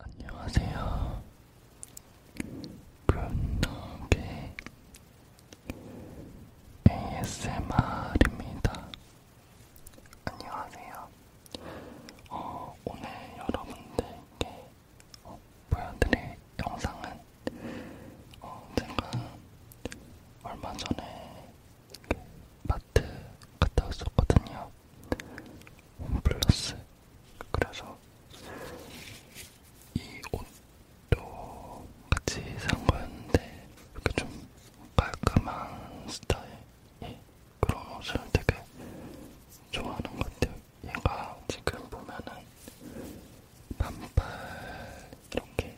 안녕하세요. 굿노게 ASMR입니다. 안녕하세요. 어, 오늘 여러분들께 어, 보여드릴 영상은 어, 제가 얼마 전에 그 마트 갔다 왔었거든요. 홈플러스. 그래서 이 옷도 같이 산 거였는데 이렇게 좀 깔끔한 스타일 그런 옷을 되게 좋아하는 것 같아요. 얘가 지금 보면은 반팔 이렇게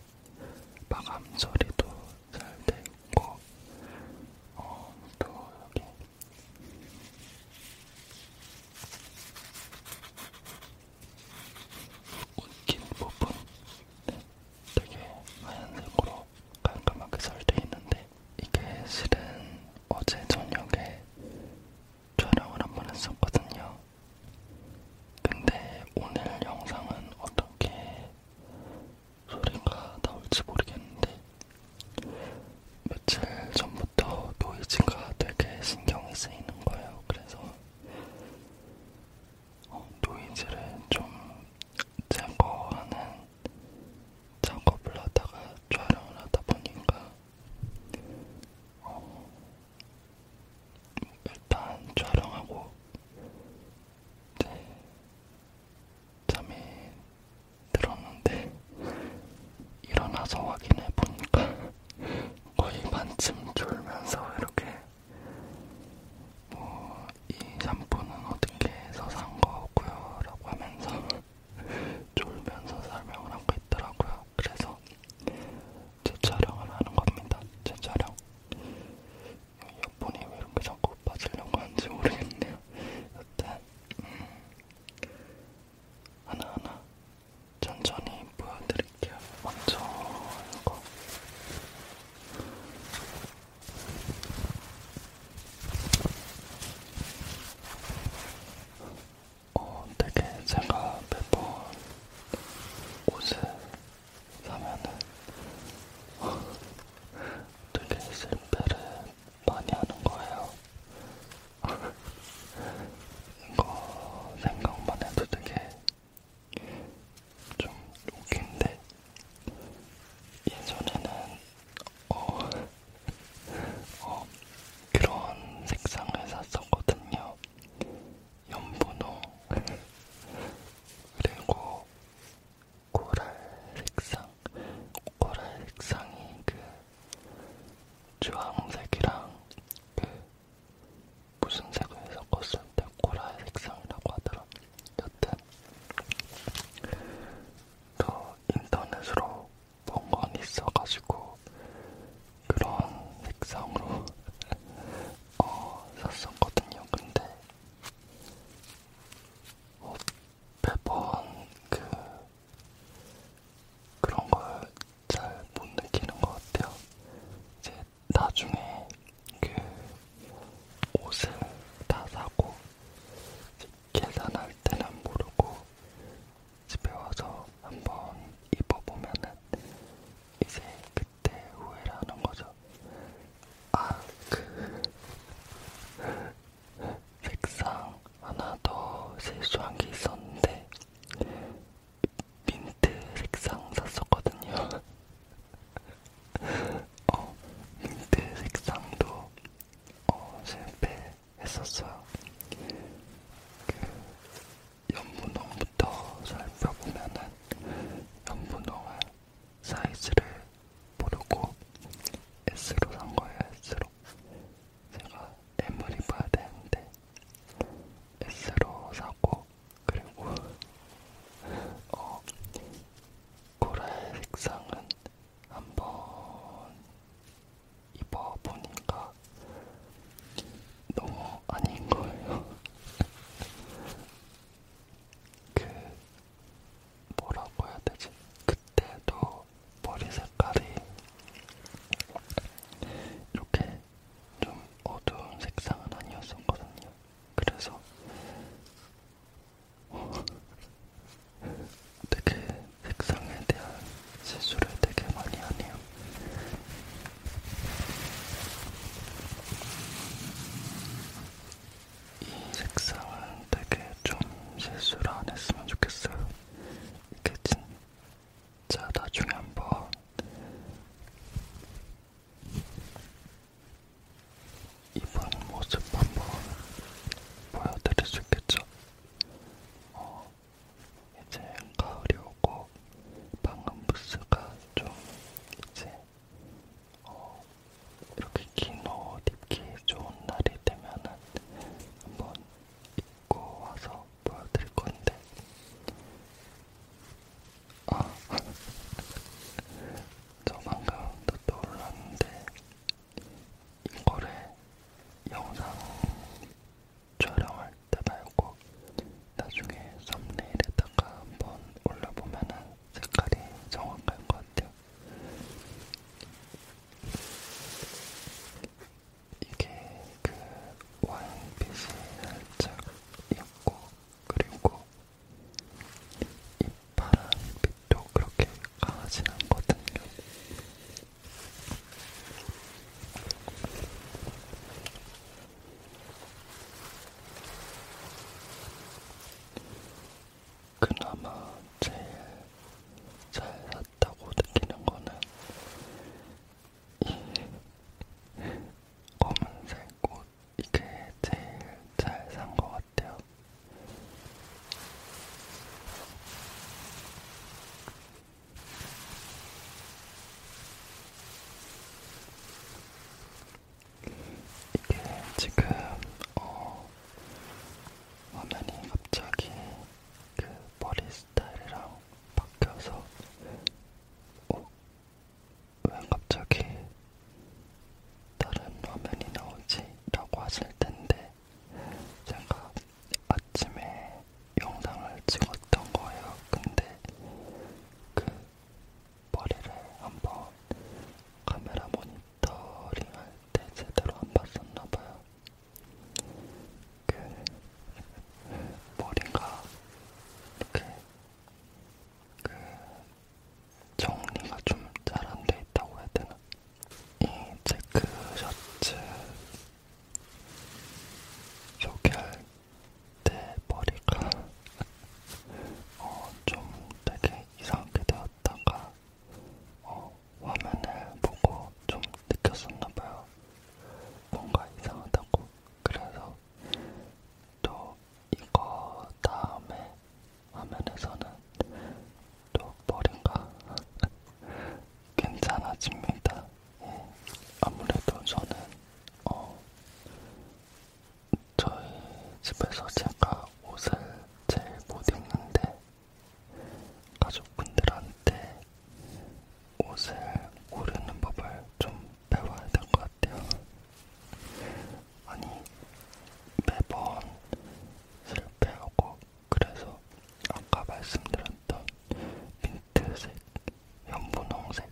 마감 처리도 잘돼 있고, 어, 또 여기 웃긴 부분 되게 하얀색으로 깔끔하게 잘돼 있는데 이게 실은 어제 저녁에 촬영을 한 번 했었거든요. 근데 오늘 영상은 어떻게 소리가 나올지 모르겠는데 며칠 전부터 노이즈가 되게 신경이 쓰이는 거예요. 그래서 어, 노이즈를 좀 제거하는 작업을 하다가 촬영을 하다 보니까 어, 일단 촬영하고 이제 잠이 들었는데 일어나서 확인해 보니까 거의 반쯤 졸면서 이렇게 뭐이 샴푸는 어떻게 해서 산 거고요? 라고 하면서 졸면서 설명을 하고 있더라고요. 그래서 제 촬영을 하는 겁니다. 제 촬영. 이어폰이 왜 이렇게 자꾸 빠지려고 하는지 모르겠네요. 여튼 음, 하나하나 천천히 보여드릴게요. 먼저 이거 어, 되게 제가 매번 옷을 사면은 되게 실패를 많이 하는 거예요. 이거 생각만 해도 되게 좀 웃긴데 예전에는 어, 어, 그런 색상을 샀었거든요. 연분홍, 그리고 코랄 색상, 코랄 색상이 그 주황색이랑 그 무슨 색을 섞었을 때 코랄 색상이라고 하더라. 여튼 더 인터넷으로 본건 있어가지고 그런 색상으로 어, 샀었거든요. 근데 어, 매번 그 그런 걸 잘 못 느끼는 것 같아요. 이제 나중에 그 옷을 다 사고 계산할 때는 모르고 집에 와서 한번 입어보면은 이제 그때 후회를 하는 거죠. 아, 그 색상 하나 더 실수한 게 있었는데 민트 색상 샀었거든요. 어, 민트 색상도 어, 실패했었어요. 그 연분홍부터 살펴보면은 연분홍은 사이즈를 모르고 S로 산 거예요. S로 제가 M을 입어야 되는데 S로 사고 그리고 어, 코랄 색상은 한번 입어보니까 너무 아닌 거예요. 그 뭐라고 해야 되지? 그때도 머리 색깔이 이렇게 좀 어두운 색상은 아니었었거든요. 그래서 되게 색상에 대한 실수를 되게 많이 하네요. 이 색상은 되게 좀 실수를 안 했으면 좋겠어요. 이게 진짜 나중에 한번 입은 모습 한번 보여드릴 수 있겠죠? 어, 이제 가을이 오고 방음 부스가 좀 이제 어, 이렇게 긴옷 입기 좋은 날이 되면은 한번 입고 와서 보여드릴 건데 아, 저 방금 또 떠올랐는데 이거를 영상 촬영할 때 말고 나중에 썸네일에다가 한번 올려보면은 색깔이 정확할 것 같아요. 이게 그 와인빛이 살짝 있고 그리고 이 파란빛도 그렇게 강하진 않거든요. 그나마 제일 잘 샀다고 느끼는 거는 이 검은색 꽃 이게 제일 잘산거 같아요. 이게 지금 어 화면이 갑자기 그 머리 스타일이랑 바뀌어서 어? 왜 갑자기 다른 화면이 나오지? 라고 하실 텐데 제가 아침에 영상을 찍었던 거예요. 근데 그 머리를 한번 카메라 모니터링 할 때 제대로 안 봤었나 봐요. 그 머리가 이렇게 그 정리가 좀 잘 안 돼 있다고 해야 되나? 이 체크 셔츠 소개할 때 머리가 어, 좀 되게 이상하게 되었다가 어, 화면을 보고 좀 느꼈었나봐요. 뭔가 이상하다고. 그래서 또 이거 다음에 화면에서는 또 머리가 괜찮아집니다. 예. 아무래도 저는 어, 저희 집에서 제가 옷을 제일 못 입는데 가족분들한테 옷을 고르는 법을 좀 배워야 될 것 같아요. 아니 매번 실패하고 그래서 아까 말씀드렸던 민트색, 연분홍색,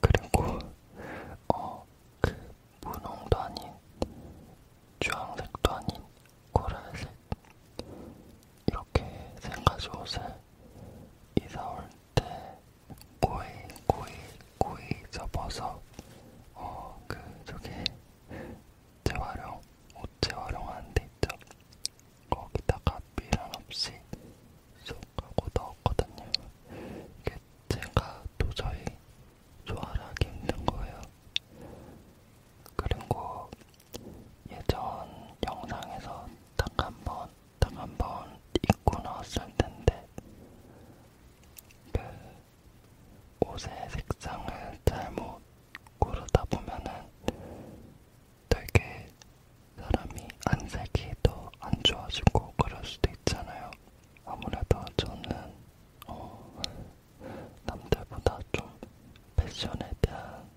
그리고 어, 그 분홍도 아닌 주황색도 아닌 코랄색 이렇게 생가지 옷을 이사 올때 고이 고이 고이 접어서 어그 저기 재활용, 옷 재활용하는 데 있죠. 거기다가 미련 없이 쏙 하고 넣었거든요. 이게 제가 도저히 조화를 하기 힘든 거예요. 그리고 예전 영상에서 딱 한번 딱 한번 입고 나왔을 텐데 그 옷의 색상을 잘못 고르다 보면은 되게 사람이 안색이 더 안 좋아지고 그럴 수도 있잖아요. 아무래도 저는 어, 남들보다 좀 패션에 대한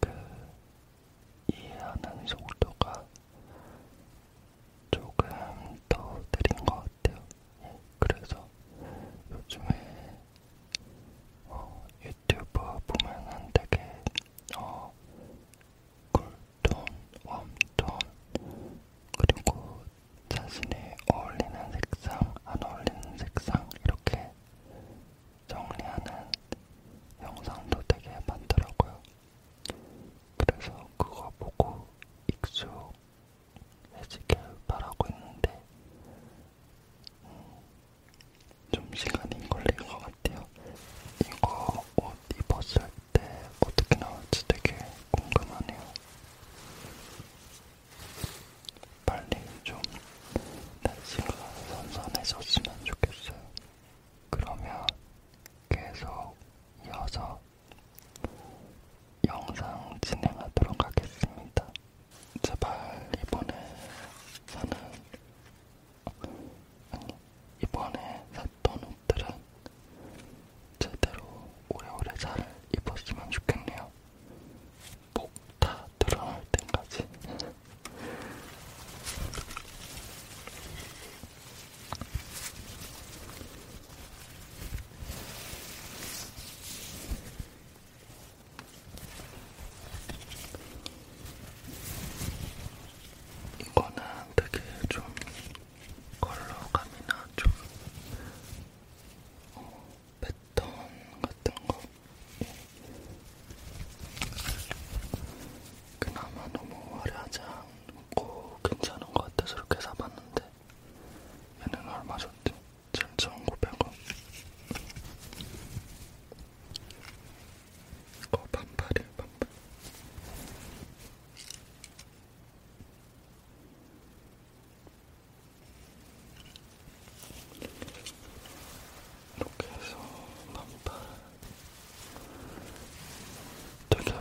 그 이해하는 속도가 조금 더 느린 것 같아요. 네, 그래서 요즘에 어, 유튜브 보면은 되게 어, 쿨톤, 웜톤 그리고 자신이 어울리는 색상, 안 어울리는 색상 이렇게 정리하는 영상도 되게 많더라고요. 그래서 그거 보고 익숙 해지길 바라고 있는데 음, 좀 시간이 걸릴 것 같아요. 이거 옷 입었을 때 어떻게 나올지 되게 궁금하네요. 빨리 좀 날씨가 선선해졌으면 좋겠어요. 그러면 계속 이어서 영상 진행하도록 하겠습니다. 제발 이번에 사는 아니 이번에 샀던 옷들은 제대로 오래오래 잘 입었으면 좋겠네요. 목다 드러날 때까지. 이거는 되게 좀 컬러감이나 좀 어, 패턴 같은 거 그나마 너무 화려하지 않고 괜찮은 것 같아서 이렇게 사봤는데 얘는 얼마 줬지? 7,900원 이거 반팔이에요 반팔 이렇게 해서 반팔 되게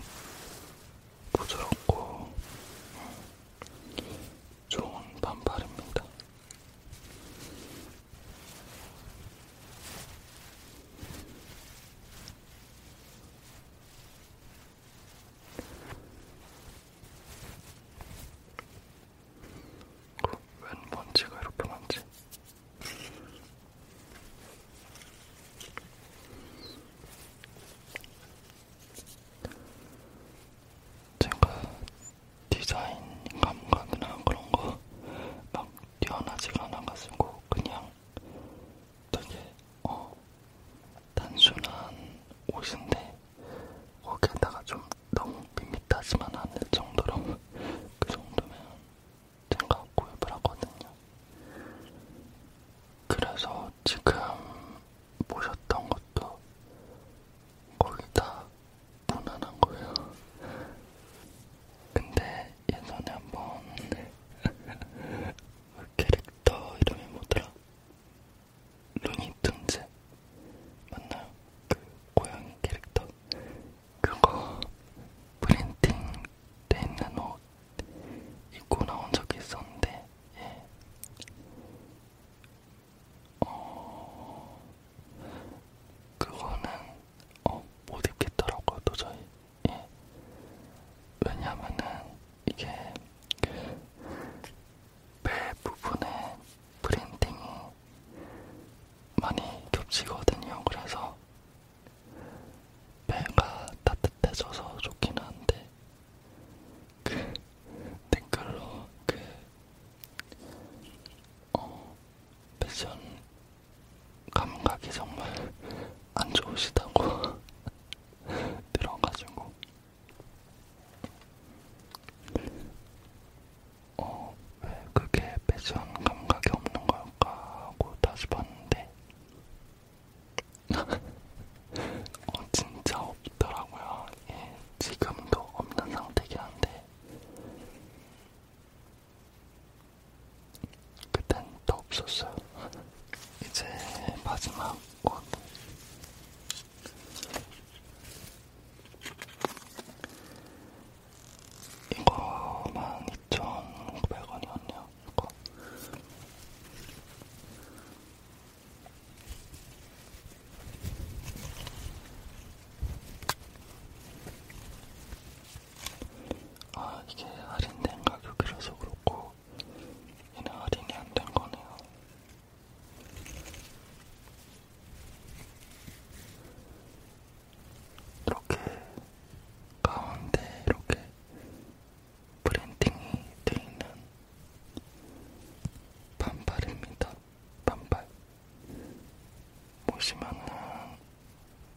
부드럽고 음, 좋은 반팔입니다. 웬 먼지가 이렇게 많지? 제가 디자인 감각이나 그런 거막 뛰어나지가 않아가지고 그냥 되게 어 단순한 옷인데 거기에다가 좀 너무 밋밋하지만 않을 정도로 그 정도면 제가 구입을 하거든요. 그래서 지금 모셨던 것도 거의 다 무난한 거예요. 근데 예전에 한번 그 캐릭터 이름이 뭐더라? 루니툰즈 맞나요? 그 고양이 캐릭터 그거 프린팅 돼 있는 옷 입고 나온 적이 있었는데, 예. 어, 그거는 어, 못 입겠더라고요, 도저히. 예. 왜냐면은 이게 배 부분에 프린팅이 많이 겹치거든요. 그래서 배가 따뜻해져서 좋긴 한데 그 댓글로 그 어, 패션 감각이 정말 안 좋으시다고 들어가지고 어, 왜 그게 패션 감각이 없는 걸까 하고 다시 봤는데 어, 진짜 없더라고요. 예, 지금도 없는 상태긴 한데, 그땐 더 없었어요. 이제 마지막 옷. 이거만 2,900원이었네요. 이거. 아, 이게 할인된 가격이라서 그렇고, 얘는 할인이 안 된 거네요. 이렇게 가운데 이렇게 브랜딩이 돼 있는 반팔입니다. 반팔. 보시면은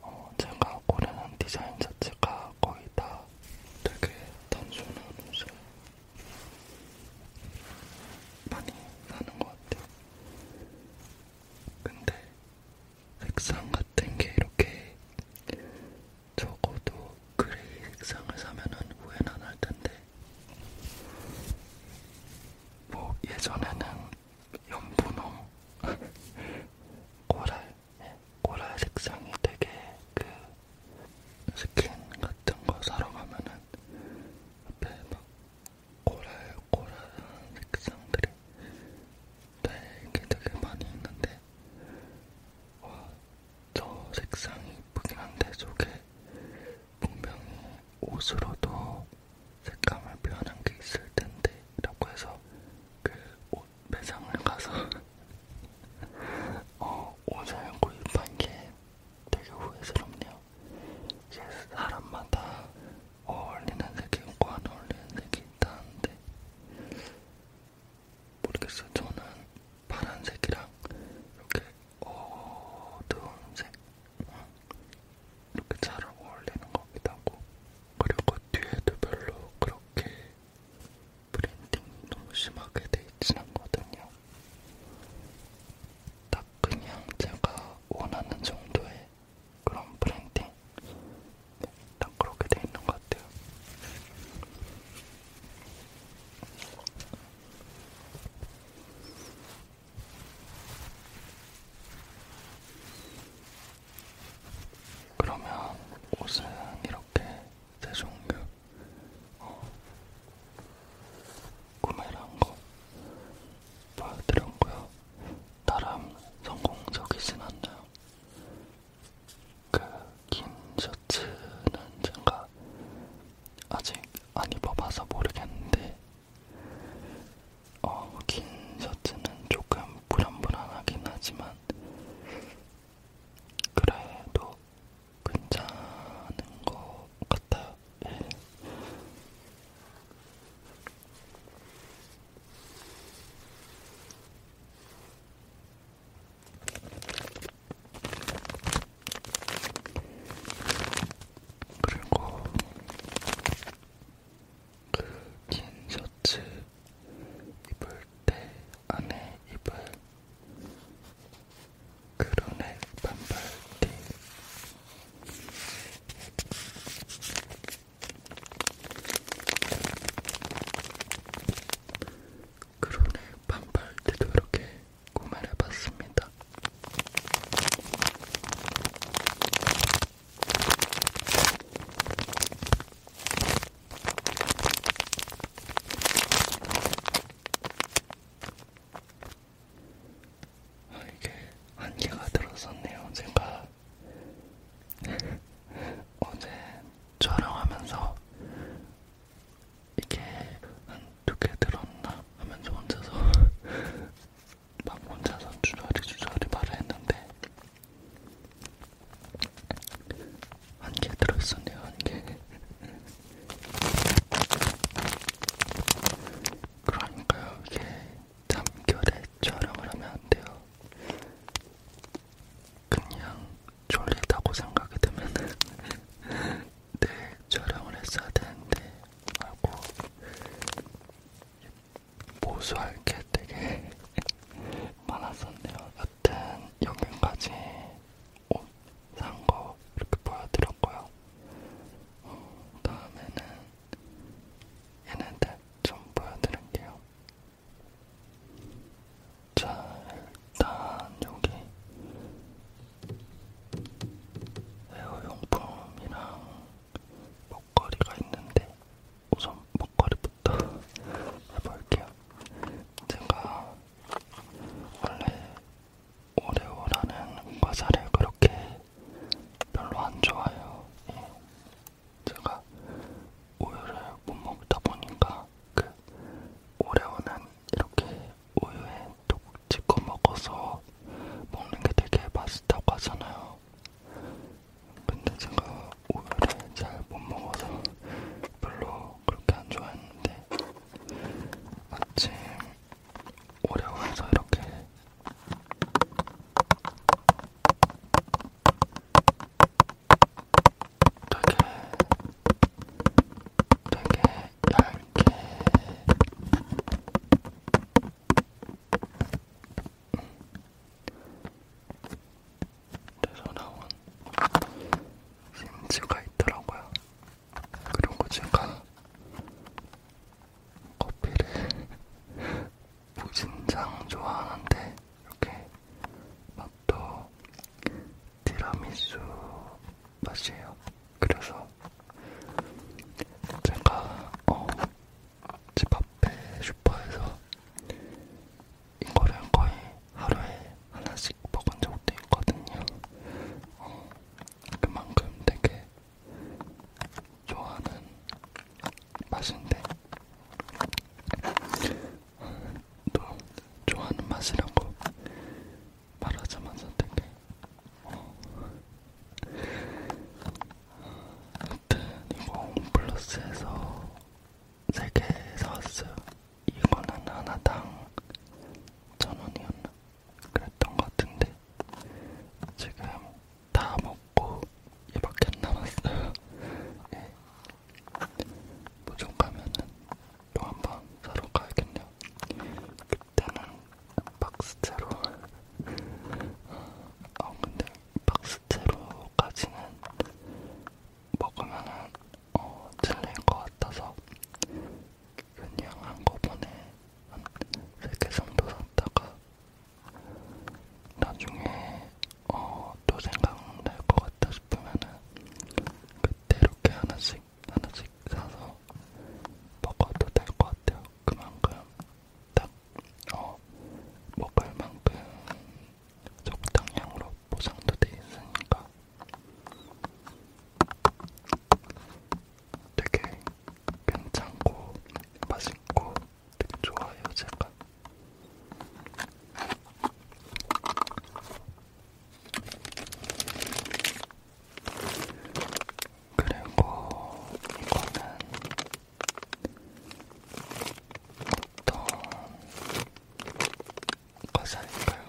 어 제가 고르는 디자인 자체가 거의 다 되게 단순한 옷을 많이 사는 것 같아요. 근데 색상 같은 게 이렇게 적어도 그레이 색상을 사면은 후회는 안할 텐데. 뭐 예전에는 연분홍, 코랄, 코랄 색상이 되게 그 스킨 같은 거 사러 가면은 앞에 막 코랄 코랄한 색상들이 되게 네, 되게 많이 있는데 와저 색상이 이쁘긴 한데 속에 분명히 옷으로도 색감을 표현한 게 있을 텐데 라고 해서 그 옷 매장을 가서 어, 옷을 구입한 게 되게 후회스럽네요. 이게 사람마다 어울리는 색이 있고 안 어울리는 색이 있다는데 모르겠어요. 저는 파란색이랑 이렇게 어두운색 어, 이렇게 잘 어울리는 겁니다. 그리고 뒤에도 별로 그렇게 브랜딩 너무 심하게 돼 있진 않거든요. 딱 그냥 제가 원하는 정도의 그런 브랜딩 딱 그렇게 돼 있는 것 같아요. 그러면 옷은 이렇게 세 종류 어, 구매를 한거 보여드렸고요. 나름 성공적이진 않나요? 그긴 셔츠는 제가 아직 안 입어봐서 모르겠는데 어, 긴 셔츠는 조금 불안불안하긴 하지만 그래도 괜찮은 것 같아요. 예. 그리고 그 긴 셔츠 입을 때 안에 입을 그루넥 반팔티 그로네 반팔티도 이렇게 구매를 해봤습니다. 아, 이게 안개가 들었었네요. 제가 어제 촬영하면서 이게 한 두 개 들었나 하면서 혼자서 막 혼자서 주저리 주저리 말을 했는데 한 개 들어있었네요 한 개 그러니까요 이게 잠결에 촬영을 하면 안 돼요. 그냥 졸리다고 생각이 들면 내일 네, 촬영을 했어야 되는데 하고 보수할 게 되게 많았었네요. 여튼 여기까지 옷산거 이렇게 보여드렸고요. 어, 다음에는 얘네들 좀 보여드릴게요. 자, 일단 여기 에어용품이랑 목걸이가 있는데 우선 목걸이부터 해볼게요. 제가 원래 오레오라는 과자를 그렇게 별로 안 좋아해요. 예. 제가 우유를 못 먹다 보니까 그 오레오는 이렇게 우유에 똑 찍어 먹어서 먹는 게 되게 맛있다고 하잖아요. 근데 제가 우유를 잘 못 먹어서 별로 그렇게 안 좋아했는데 마침 오레오에서 이렇게 되게 되게 얇게 돼서 나온 심지가 있더라고요. 그리고 제가 커피를 무진장 좋아하는데 이렇게 맛도 티라미수 맛이에요. 그래서 제가 어, 집 앞에 슈퍼에서 이거를 거의 하루에 하나씩 먹은 적도 있거든요. 어, 그만큼 되게 좋아하는 맛인데 또 좋아하는 맛이라고 말하자마자 되게 어. 여튼 이거 홈플러스에서 3개 사왔어요 이거는 하나당 천원이었나 그랬던 것 같은데 지금 다 먹고 이밖에 안 남았어요 예. 무중 가면은 또한번 사러 가야겠네요. 그때는 박스채로. 아 어, 어, 근데 박스채로까지는 먹으면은 어 질릴 것 같아서 그냥 한꺼번에 한세개 정도 샀다가 나중에 어 또 생각날 것 같아서 싶으면은 그때 이렇게 하나씩 하나씩 사서 먹어도 될 것 같아요. 그만큼 딱 어, 먹을 만큼 적당량으로 보상도 돼 있으니까 되게 괜찮고 맛있고 되게 좋아요 제가. 그리고 이거는 어떤 과자일까요?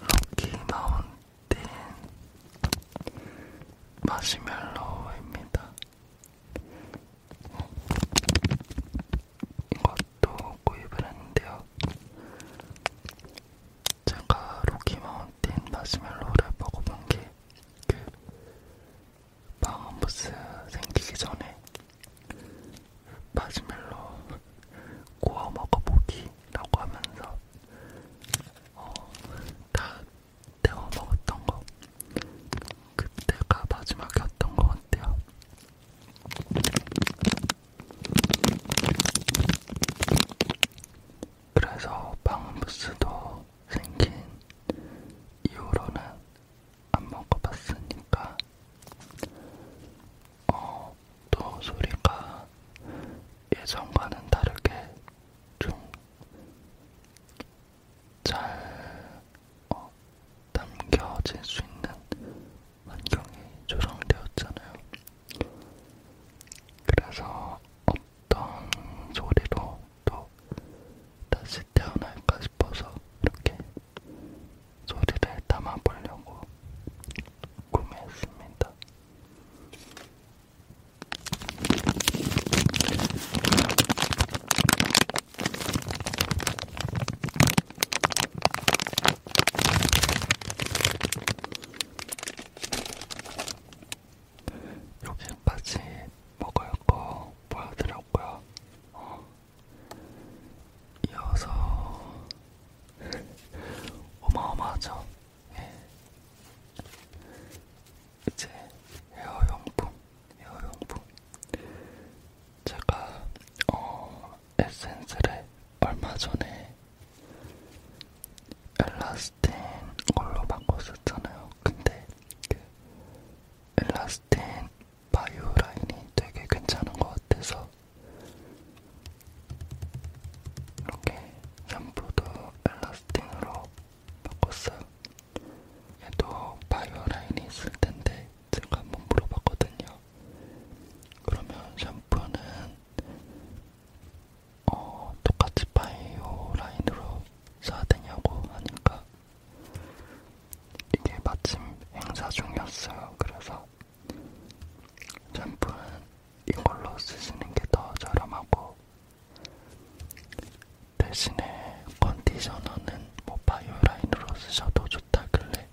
럭키마운틴 마시멜로우입니다. 이것도 구입을 했는데요. 제가 로키마운틴 마시멜로를 먹어본 게그 방음부스 생기기 전에 마시멜로 구워 먹어보기라고 하면서 어, 다 데워 먹었던 거 그때가 마지막이었던 것 같아요. 그래서 방음부스도 생긴 이후로는 안 먹어봤으니까 어, 또 소리가 예전과는 다르게 좀잘 어, 담겨질 수 있는 환경이 조성되었잖아요. 그래서 어떤 소리로 또 다시 태어날까 싶어서 이렇게 소리를 담아보려고 구매했습니다. 여기까지 먹을 거 보여드렸고요. 어. 이어서 어마어마하죠. 예. 이제 헤어용품, 헤어용품. 제가 어 에센스를 얼마 전에 엘라스틴 걸로 바꿨었잖아요. 근데 그 엘라스틴 바이오 라인이 되게 괜찮은 것 같아서 이렇게 샴푸도 엘라스틴으로 바꿨어요. 얘도 바이오 라인이 있을 텐데 제가 한번 물어봤거든요. 그러면 샴푸는 어, 똑같이 바이오 라인으로 사야 되냐고 하니까 이게 마침 행사 중이었어요. 그래서 샴푸는 이걸로 쓰시는 게 더 저렴하고 대신에 컨디셔너는 뭐 바이오 라인으로 쓰셔도 좋다길래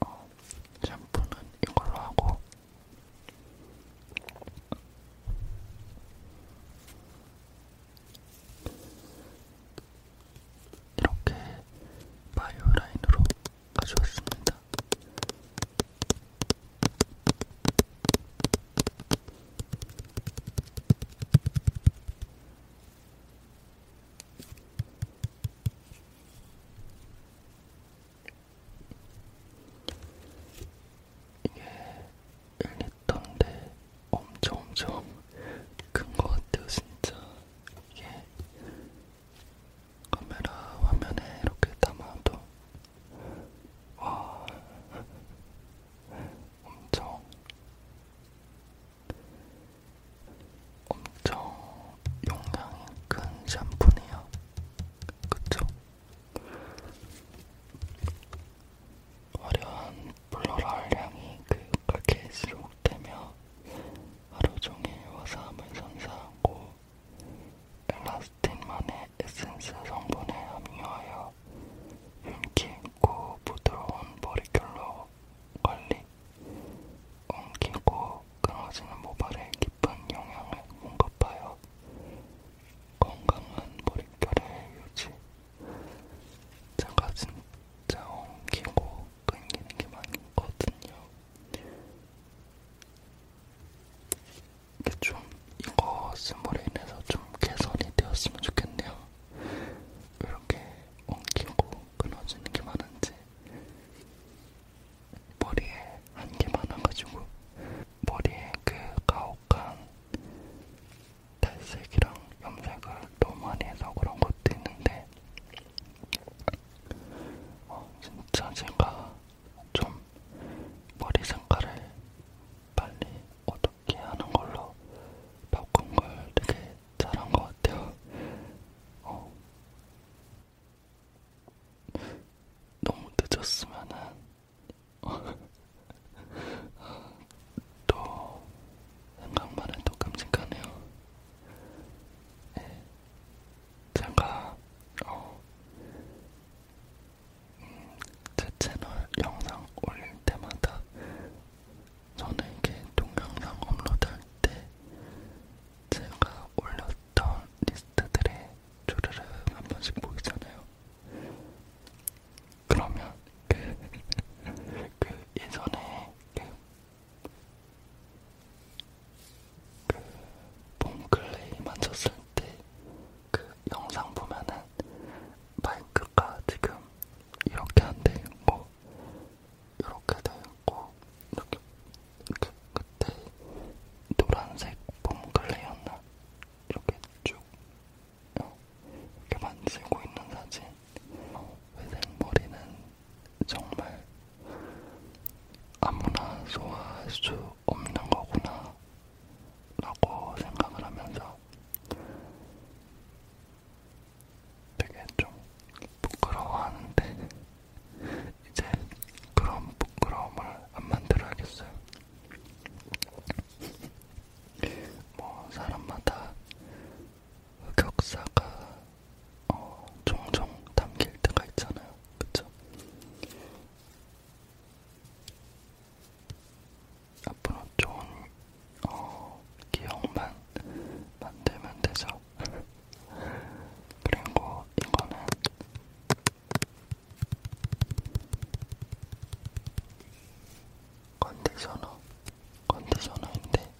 어, 샴푸는 이걸로 하고 이렇게 바이오 라인으로 가져왔습니다. 이게 1리터인데 엄청 엄청 큰 것 같아요 진짜 이게 카메라 화면에 이렇게 담아도 와 엄청 엄청 용량이 큰 샴푸네요. 그쵸? 화려한 플로럴 향이 그윽하게 지속되며 하루종일 화사함을 선사하고 엘라스틴만의 에센스 성분을 함유하여 윤기 있고 부드러운 머릿결로 관리 없이 엉키고 끊어지는 모발에 깊은 영향을 공급하여 건강한 머릿결을 유지. 제가 진짜 엉키고 끊기는 게 많거든요. 이게 좀 이것으로 인해서 좀 개선이 되었으면 좋겠네요. 이렇게 엉키고 끊어지는 게 많은지 머리에 한개 많아가지고 머리에 그 가혹한 탈색이랑 염색을 너무 많이 해서 그런 것도 있는데 어, 진짜 제가 좀 머리 색깔을 빨리 어떻게 하는 걸로 바꾼 걸 되게 잘한 것 같아요. 어, 너무 늦었으면은 또 생각만 해도 끔찍하네요. 네. 제가 어, 음, 제 채널 영상 올릴 때마다 저는 이렇게 동영상 업로드할 때 제가 올렸던 리스트들의 조르르 한 번씩 보이잖아요. 그러면 그, 그 예전에 그, 그 폼클레이 만졌을 때 그 영상 보면은 마이크가 지금 이렇게 한데 있고 이렇게 되었고 이렇게, 이렇게 그때 노란색 폼클레였나 이렇게 쭉 어, 이렇게 만지고 있는 사진 회색머리는 정말 아무나 소화할 수 없는 거구나 라고 생각을 하면서 되게 좀 부끄러워하는데 이제 그런 부끄러움을 안 만들어야겠어요. 뭐 사람마다 흑역사가 어, 종종 담길 때가 있잖아요, 그렇죠? 앞으로 좋은 어, 기억만 만들면 되죠. 있어요. 그리고 이거는 컨디셔너, 컨디셔너인데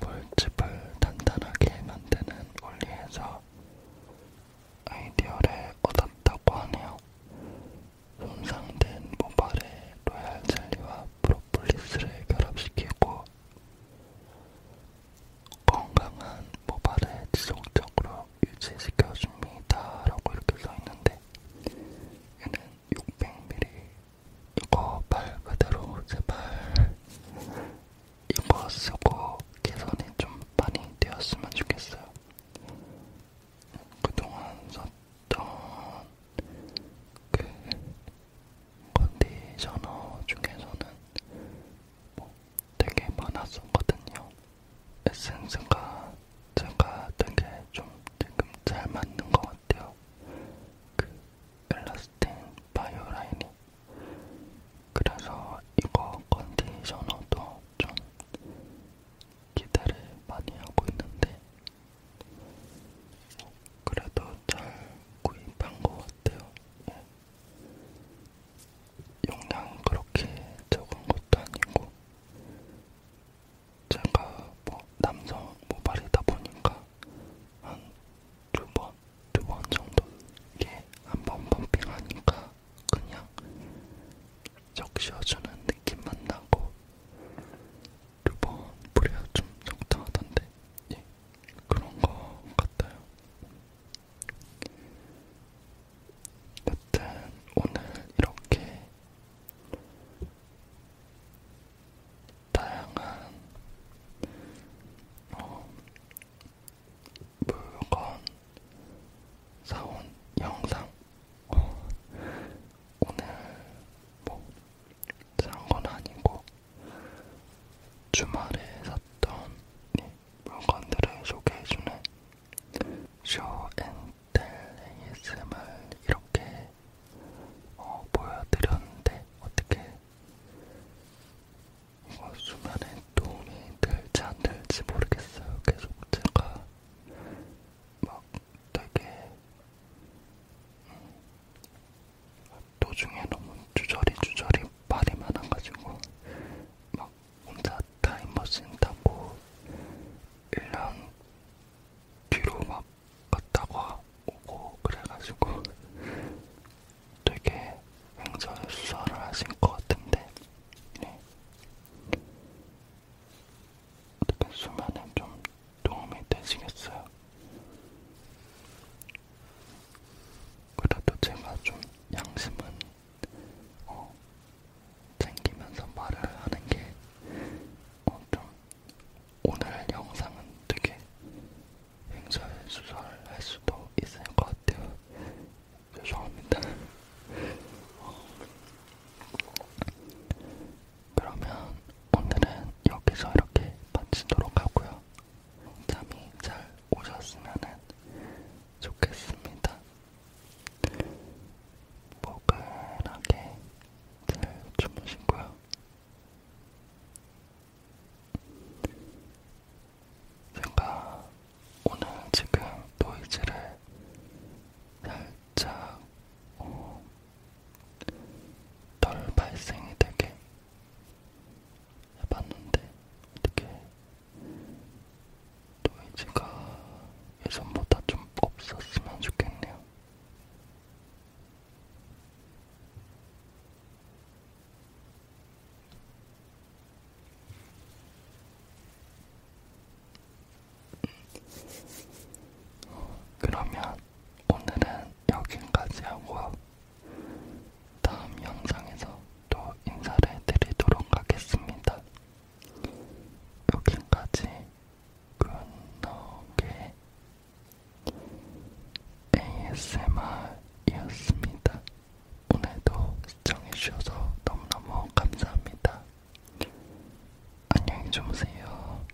물집을 단단하게 만드는 원리에서 아이디어를 얻었다고 하네요. 손상된 모발에 로얄 젤리와 프로폴리스를 결합시키고 건강한 모발을 지속적으로 유지시켜줍니다. 라고 이렇게 써있는데 얘는 600ml 이거 말 그대로 제발 이거 쓰고 개선이 좀 많이 되었으면 좋겠어요. 그동안 썼던 그 컨디셔너 중에서는 뭐 되게 많았었거든요. 에센스가 제가 되게 좀 지금 잘 맞는 것 같아요. 그 엘라스틴 바이오 라인이. 그래서 이거 컨디셔너도 좀 기대를 많이 하고 있는데 그래도 잘 구입한 것 같아요. 네. 용량 그렇게 적은 것도 아니고 제가 뭐 남성 모발이다 보니까 한 두번두번 두번 정도 이게 한번 펌핑하니까 그냥 적셔주는 느낌만 나고 두번 뿌려야 좀 적당하던데 예. 그런 것 같아요. 여튼 오늘 이렇게 다양한 어, 물건 사온 영상 어, 오늘 뭐 산건 아니고 주말에 샀던 물건들을 소개해주는 쇼앤텔 ASMR 이렇게 어, 보여드렸는데 어떻게 이거 수면에 도움이 될지 안 될지 모르겠어요. 계속 제가 막 되게 음, 도중에 너무 주저리 주저리 말이 많아가지고 막 혼자 타임머신 타고 1년 뒤로 막 갔다가 오고 그래가지고 되게 횡설수설을 하신 것 같은데 네. 어떻게 수면에 좀 도움이 되시겠어요? 그래도 제가 좀 양심은 어, 챙기면서 말을 하는 게 어, 좀 오늘 영상은 되게 행설수설할 수도 있을 것 같아요. 죄송합니다. 어, 그러면 오늘은 여기서 이렇게 마치도록 하고요. 잠이 잘 오셨으면 좋겠습니다. 모근하게 잘 주무시고요. 제가 오늘 지금 노이즈를 살짝 어, 덜 발생이 되게 해봤는데 어떻게 노이즈가 예전보다 좀 없었으면 좋겠네요. 음, 그러면 오늘은 여기까지 하고요. 다음 영상에서 또 인사를 드리도록 하겠습니다. 여기까지 굿노게 ASMR이었습니다. 오늘도 시청해주셔서 너무너무 감사합니다. 안녕히 주무세요.